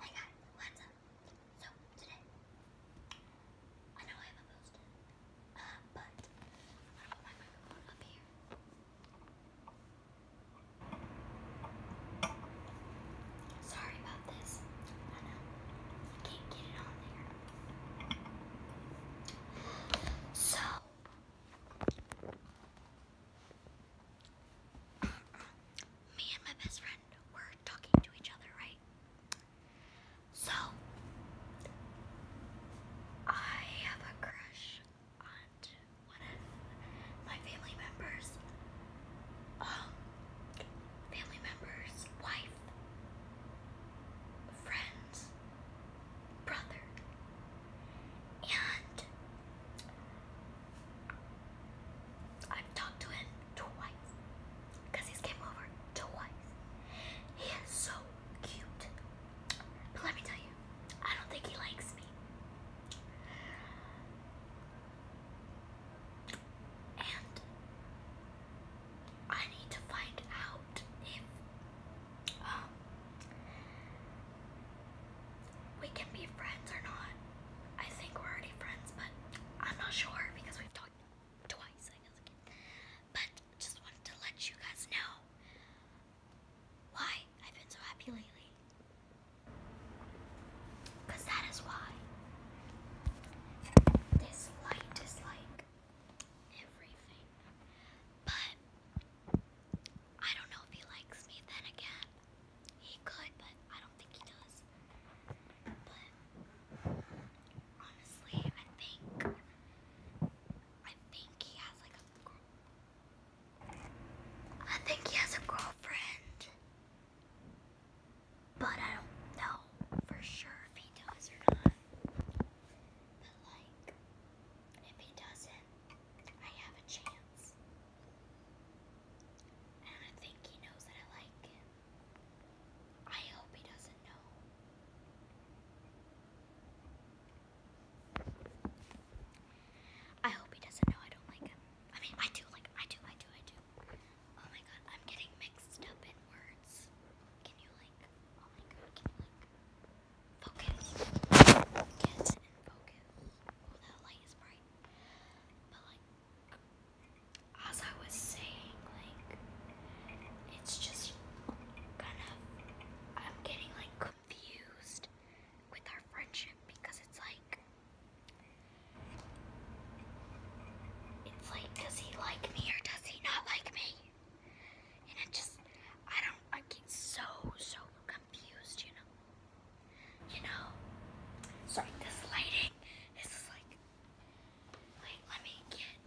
Hey guys, what's up? So, today, I know I haven't posted, uh, but I'm my microphone up here. Sorry about this. I know. I can't get it on there. So, me and my best friend were talking to each other, right? So, I have a crush on one of my family members, um, family members' wife, friend, brother. And I've talked to him twice because he's came over twice. He is so cute. But let me tell you, I don't think he likes me. And I need to find out if um, we can be friends or not. I think we're already friends, but I'm not sure because we've talked twice, I guess. But just wanted to let you guys know why I've been so happy lately. Because that is why this light is like everything. But I don't know if he likes me then again. He could, but I don't think he does. But honestly, I think I think he has like a girl. I think he has a girlfriend. But I don't know for sure if he does or not. But like, if he doesn't, I have a chance. And I think he knows that I like him. I hope he doesn't know. I hope he doesn't know I don't like him. I mean, I do, like, I do, I do, I do. Oh my god, I'm getting mixed up in words. Can you, like, oh my god, can you, like, focus? Focus Oh, that light is bright. But, like, as I was saying, like, it's just kind of, I'm getting, like, confused with our friendship because it's like it's like does he like me or does he not like me? And it just I don't I get so so confused, you know. You know. Sorry, this lighting. This is like wait, let me get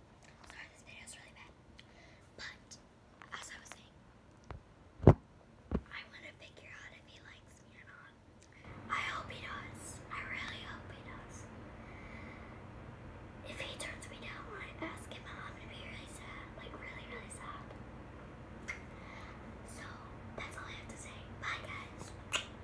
Sorry, this video is really bad. But as I was saying, I want to figure out if he likes me or not. I hope he does. I really hope he does. If he turns me down when I ask him out, I'm gonna be really sad. Like really, really sad. So that's all I have to say. Bye guys.